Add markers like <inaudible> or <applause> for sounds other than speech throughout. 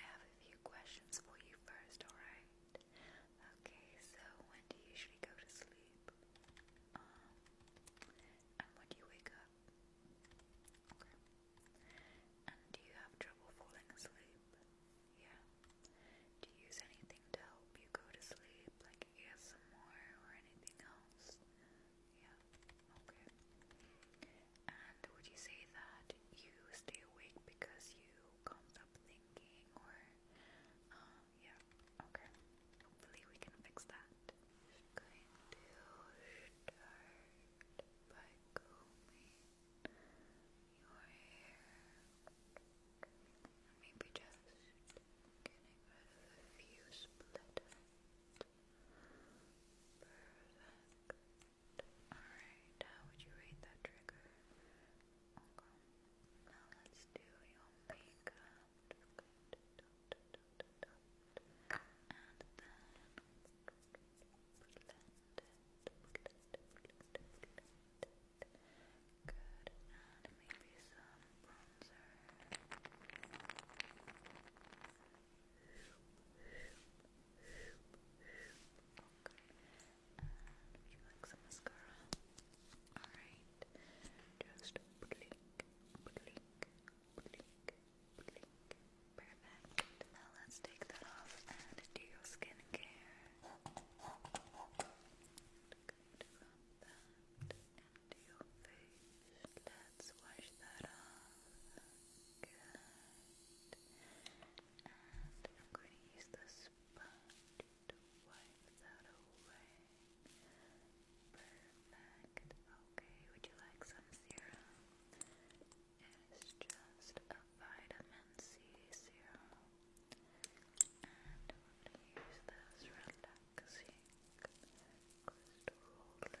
I have a few questions for you first, alright? Okay, so when do you usually go to sleep? Um, and when do you wake up? And do you have trouble falling asleep? Yeah. Do you use anything to help you go to sleep, like ASMR or anything else? Yeah, okay. And would you say that you stay awake because you can't thinking or um, yeah, okay. Hopefully we can fix that. going to start by combing your hair. maybe just getting rid of a few split Perfect. Alright, how would you rate that trigger? Okay. Now let's do your makeup. And then blend it. Good. And maybe some bronzer. And you like some mascara? Alright. Just blink, blink, blink, blink. Perfect. Now let's take that off and do your skincare. Good. From that into your face. Let's wash that off. Good. And I'm going to use the sponge to wipe that away. Perfect. Okay, would you like some serum? It's just a vitamin C serum. And I'm going to use this relaxing crystal roller.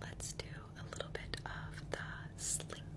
Let's do a little bit of the slinky.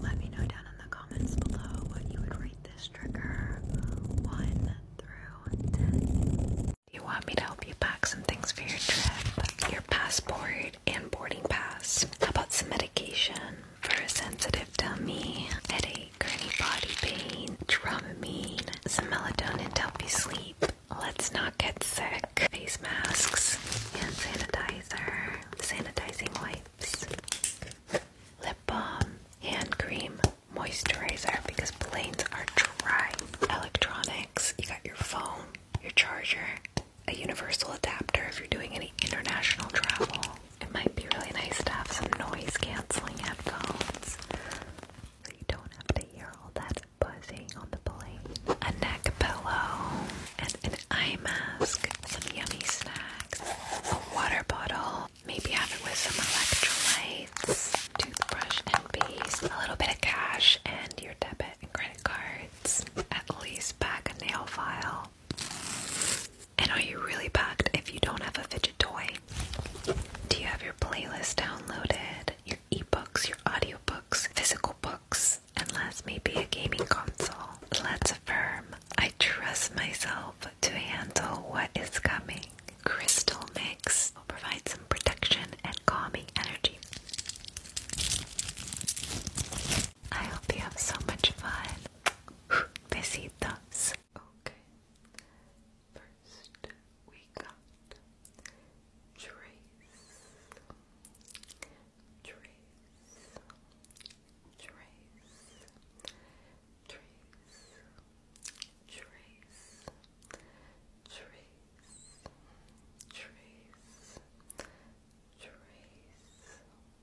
Let me know down in the comments below what you would rate this trigger 1 through 10. you want me to help you pack some things for your trip? Your passport and boarding pass. How about some medication? for a sensitive tummy, headache, or body pain, Dramamine, some melatonin to help you sleep. Let's not get sick. Face masks, hand sanitizer, sanitizing wipes, lip balm, hand cream, moisturizer because planes are dry. Electronics, you got your phone, your charger, a universal adapter if you're doing any international travel, it might be really nice to have some noise canceling headphones so you don't have to hear all that buzzing on the plane. A neck pillow and an eye mask, some yummy snacks, a water bottle, maybe have it with some electrolytes, toothbrush and paste, a little bit of cash, and your debit and credit cards. At least pack a nail file. And are you really packed if you don't have a fidget toy? Do you have your playlist downloaded, your ebooks, your audiobooks, physical books, and last maybe a gaming console? Let's affirm I trust myself to handle what is coming. Crystal mix will provide some protection and calming energy. I hope you have so much fun. Besitos. Okay. First, we got Trace. Trace. Trace. Trace. Trace. Trace. Trace. Trace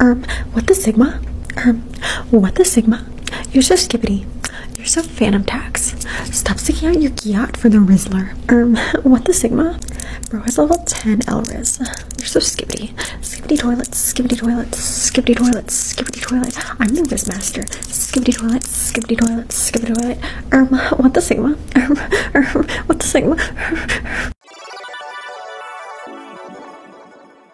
um, what the Sigma? Um, what the Sigma? You're so skibbity. You're so phantom tax. Stop sticking out your giot for the Rizzler. Um, <laughs> what the Sigma? Bro has level 10 Elriz. You're so skibbity. Skibbity toilets. skibbity toilets. skibbity toilets. skibbity toilets. I'm the Riz Master. Skibbity toilets. skibbity toilets. skibbity toilet. Um, <laughs> um, <laughs> um, what the Sigma? Um, um, what the Sigma?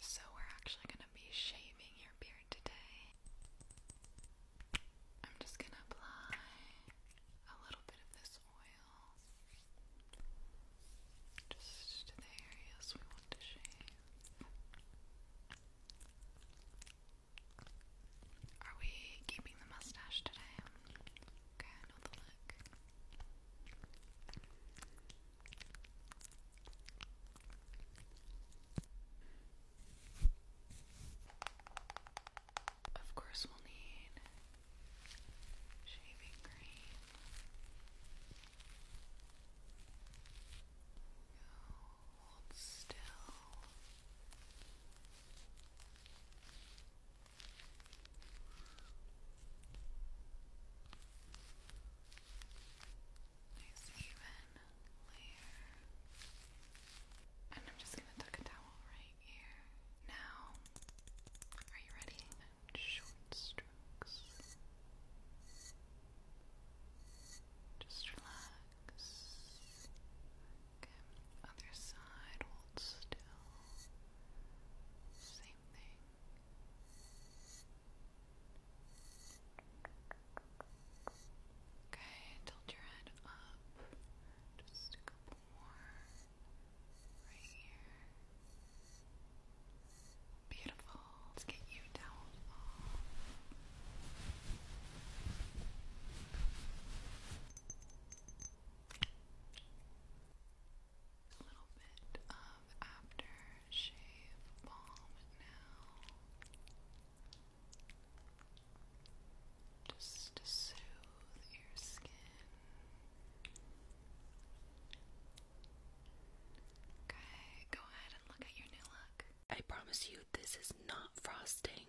So we're actually going to be shaving your beard today. I'm just going to apply a little bit of this oil just to the areas we want to shave. Are we keeping the mustache today? Okay, I look. Of course, we'll need shaving cream. hold still. Nice even. And I'm just gonna tuck a towel right here. Now, are you ready? Short strokes. Just relax. Okay, other side, hold still. Same thing. Okay, tilt your head up. Just a couple more. Right here. Beautiful. Let's get you down. Oh. A little bit of aftershave balm now just to soothe your skin. Okay, go ahead and look at your new look. I promise you, this is not frosting.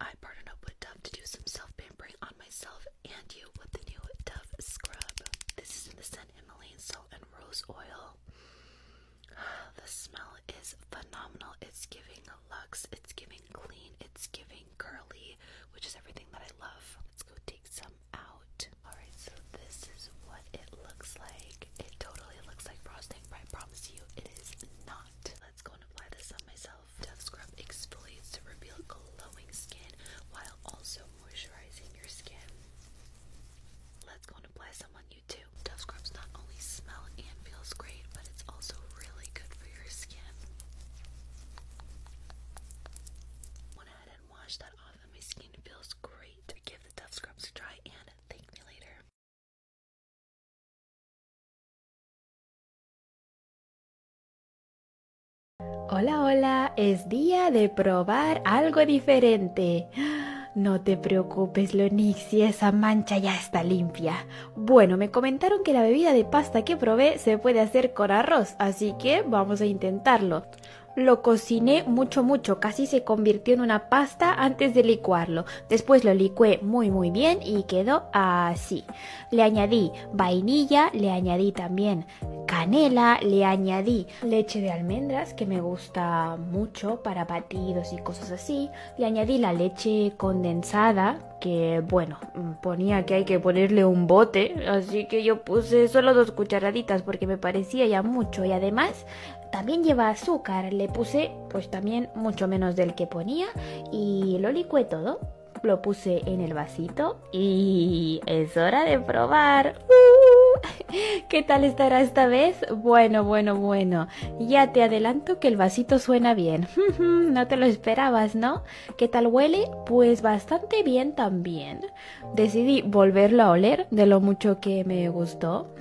I partnered up with Dove to do some self pampering on myself and you with the new Dove scrub. This is in the scent Himalayan salt and rose oil. The smell is phenomenal. It's giving luxe, it's giving clean, it's giving curly, which is everything that I love. Let's go take some out. Alright, so this is what it looks like. It totally looks like frosting, but I promise you it is not. Let's go and apply this on myself. Death Scrub exfoliates to reveal glowing skin while also moisturizing your skin. Let's go and apply some on you too. Dove scrubs not only smell and feels great, but it's also really good for your skin. Went ahead and washed that off, and my skin feels great. Give the Dove scrubs a try and thank me later. Hola, hola, es día de probar algo diferente. No te preocupes, si esa mancha ya está limpia. Bueno, me comentaron que la bebida de pasta que probé se puede hacer con arroz, así que vamos a intentarlo. Lo cociné mucho mucho, casi se convirtió en una pasta antes de licuarlo. Después lo licué muy muy bien y quedó así. Le añadí vainilla, le añadí también canela, le añadí leche de almendras que me gusta mucho para batidos y cosas así, le añadí la leche condensada, que bueno, mm, ponía que hay que ponerle un bote, así que yo puse solo dos cucharaditas porque me parecía ya mucho y además también lleva azúcar, le puse pues también mucho menos del que ponía y lo licué todo lo puse en el vasito y es hora de probar. ¡Uh! <laughs> ¿Qué tal estará esta vez? Bueno, bueno, bueno ya te adelanto que el vasito suena bien. <laughs> no te lo esperabas, ¿no? ¿Qué tal huele? Pues bastante bien también. Decidí volverlo a oler de lo mucho que me gustó.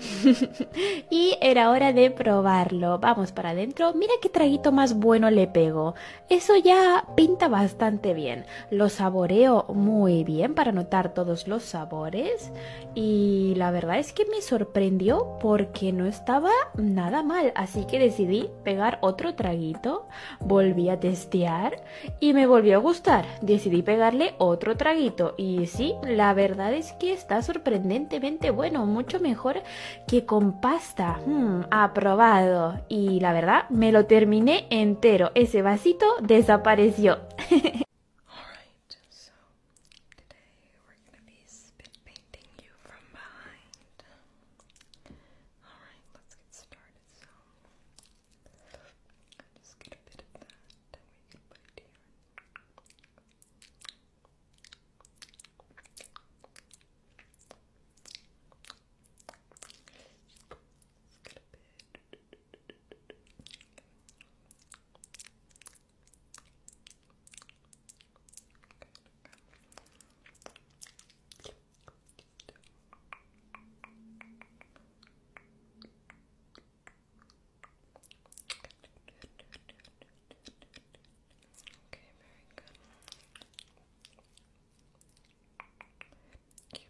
<laughs> y era hora de probarlo. Vamos para adentro. Mira qué traguito más bueno le pego. Eso ya pinta bastante bien. Lo saboreo muy bien para notar todos los sabores. Y la verdad es que me sorprendió porque no estaba nada mal, así que decidí pegar otro traguito, volví a testear y me volvió a gustar. Decidí pegarle otro traguito y sí, la verdad es que está sorprendentemente bueno, mucho mejor que con pasta. Hmm, aprobado. Y la verdad, me lo terminé entero. Ese vasito desapareció. <laughs> Alright, so today we're gonna be spit painting you from behind. Alright, let's get started. So just get a bit of that and we can put it here. Okay, very good. Okay.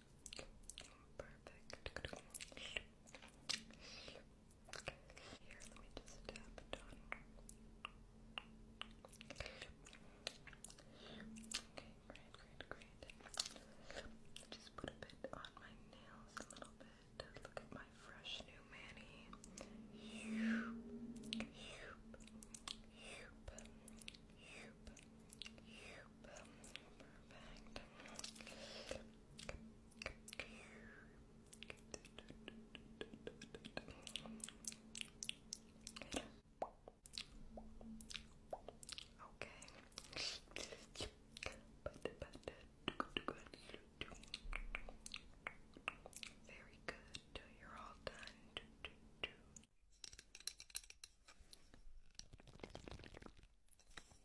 Perfect. Here, let me just tap it on. Okay, great, great, great. Just put a bit on my nails a little bit. Look at my fresh new Manny. Hoop, hoop, hoop, hoop, Perfect. Okay. Very good. You're all done.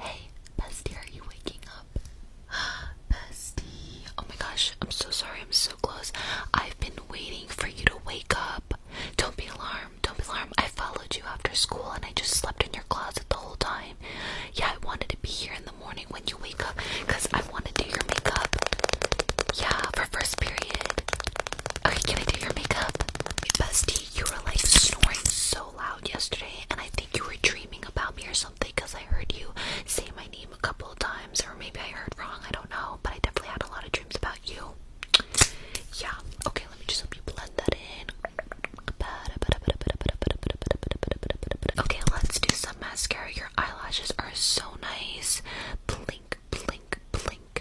Hey, Bestie, are you waking up? <gasps> Bestie. Oh my gosh, I'm so sorry, I'm so close. I've been waiting for you to wake up. Don't be alarmed. Don't be alarmed. I followed you after school and I just slept in your closet the whole time. Yeah, I wanted to be here in the morning when you wake up because I want to do your makeup. Yeah, for first period. Okay, can I do your makeup? Bestie, you were like snoring so loud yesterday and I think you were dreaming about me or something because I heard you say my name dream a couple of times, or maybe I heard wrong, I don't know, but I definitely had a lot of dreams about you. Yeah, okay, let me just help you blend that in. Okay, let's do some mascara. Your eyelashes are so nice. Blink, blink, blink,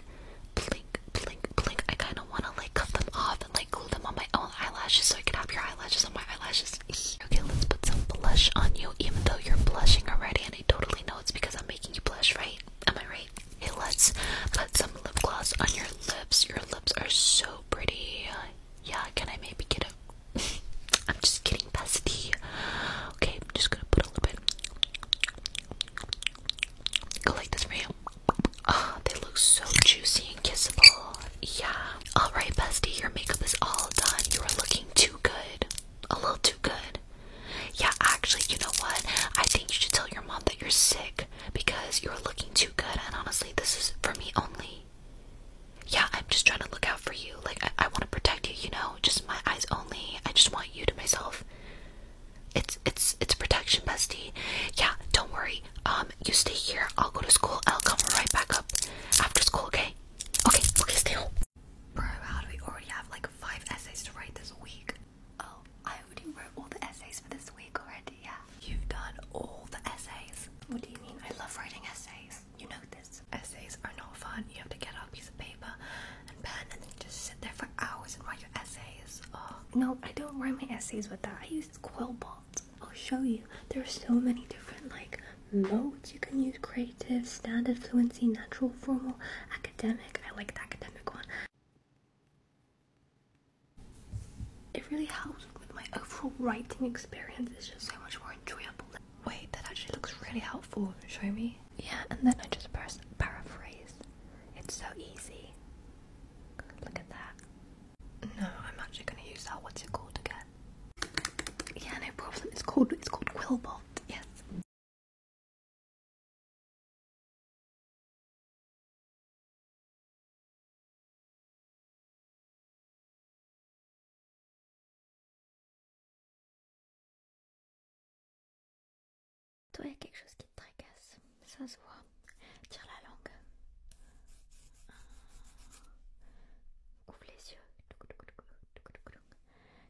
blink, blink, blink. I kind of want to like cut them off and like glue them on my own eyelashes so I can have your eyelashes on my eyelashes. okay, let's put some blush on you, even though you're blushing already, and I totally know it's because I'm making you blush, right? Am I right? Hey, let's put some lip gloss on your lips. Your lips are so pretty. Yeah, can I maybe get a. <laughs> I'm just kidding, bestie. Okay, I'm just gonna put a little bit. Go like this for you. Ah, they look so juicy and kissable. Yeah. Alright, bestie, your makeup is all done. You are looking too good. A little too good. Yeah, actually, you know what? I think you should tell your mom that you're sick because you're looking too good. And honestly, this is for me only. Yeah, I'm just trying to look out for you. Like, I, I want to protect you, you know? Just my eyes only. I just want you to myself. It's it's it's protection, bestie. Yeah, don't worry. Um, you stay here. I'll go to school. I'll come right back up after school. Okay? Okay. Okay. Stay home. Bro, how do we already have like five essays to write this week? Oh, I already wrote all the essays for this week already, yeah. You've done all the essays. What do you mean? I love writing essays. You know this. Essays are not fun. You have to get out a piece of paper and pen and just sit there for hours and write your essays. Oh. No, I don't write my essays with that. I use quill bots. I'll show you. There are so many different like modes. You can use creative, standard, fluency, natural, formal, academic. I like the academic one. It really helps with my overall writing experience. It's just so much more enjoyable. Wait, that actually looks really helpful. Show me. Yeah, and then I just press paraphrase. It's so easy. Look at that. No, I'm actually gonna use that. What's it called again? Yeah, no problem. It's called it's called Quillbot. Yes. Toi, il y a quelque chose qui te tracasse. Ça se voit. Tire la langue. Ouvre les yeux.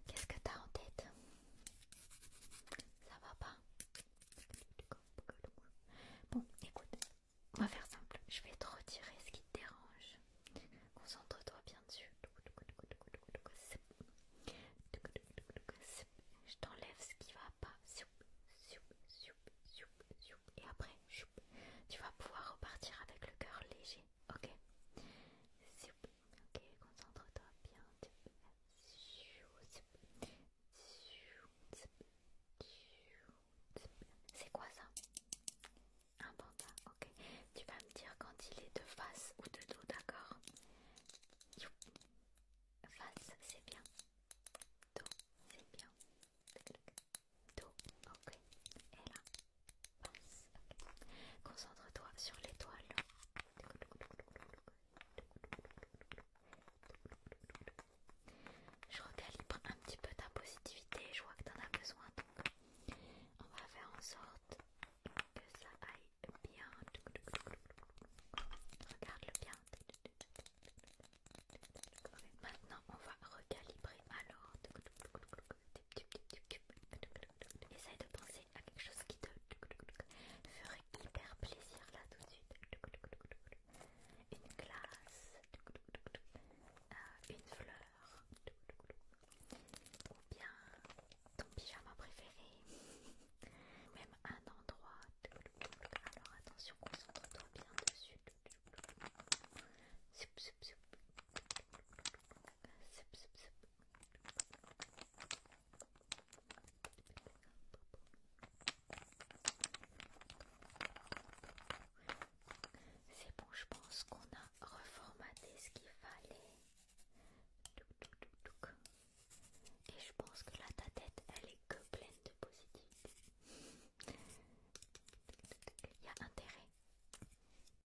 Qu'est-ce que t'as en tête Ça va pas Bon, écoute, on va faire simple. Je vais te retirer ce qui te dérange. Concentre-toi bien dessus. Je t'enlève ce qui va pas. Et après, tu vas pouvoir repartir avec le cœur léger ok. Ok, concentre-toi bien. C'est quoi ça Un panda, ok. Tu vas me dire quand il est de face ou de dos, d'accord Face, c'est bien. Dos, c'est bien. Dos, ok. Et là Concentre-toi sur l'étoile. Je recalibre un petit peu ta positivité, je vois que t'en as besoin donc on va faire en sorte que ça aille bien. Regarde-le bien. Maintenant on va recalibrer alors. Essaye de penser à quelque chose qui te ferait hyper plaisir là tout de suite. Une glace, euh, une fleur, ou bien ton pyjama préféré, même un endroit. Alors attention, concentre-toi bien dessus. C'est bon, je pense qu'on a reformaté ce qu'il fallait. Et je pense que là, ta tête, elle est que pleine de positif. <laughs> Il y a intérêt.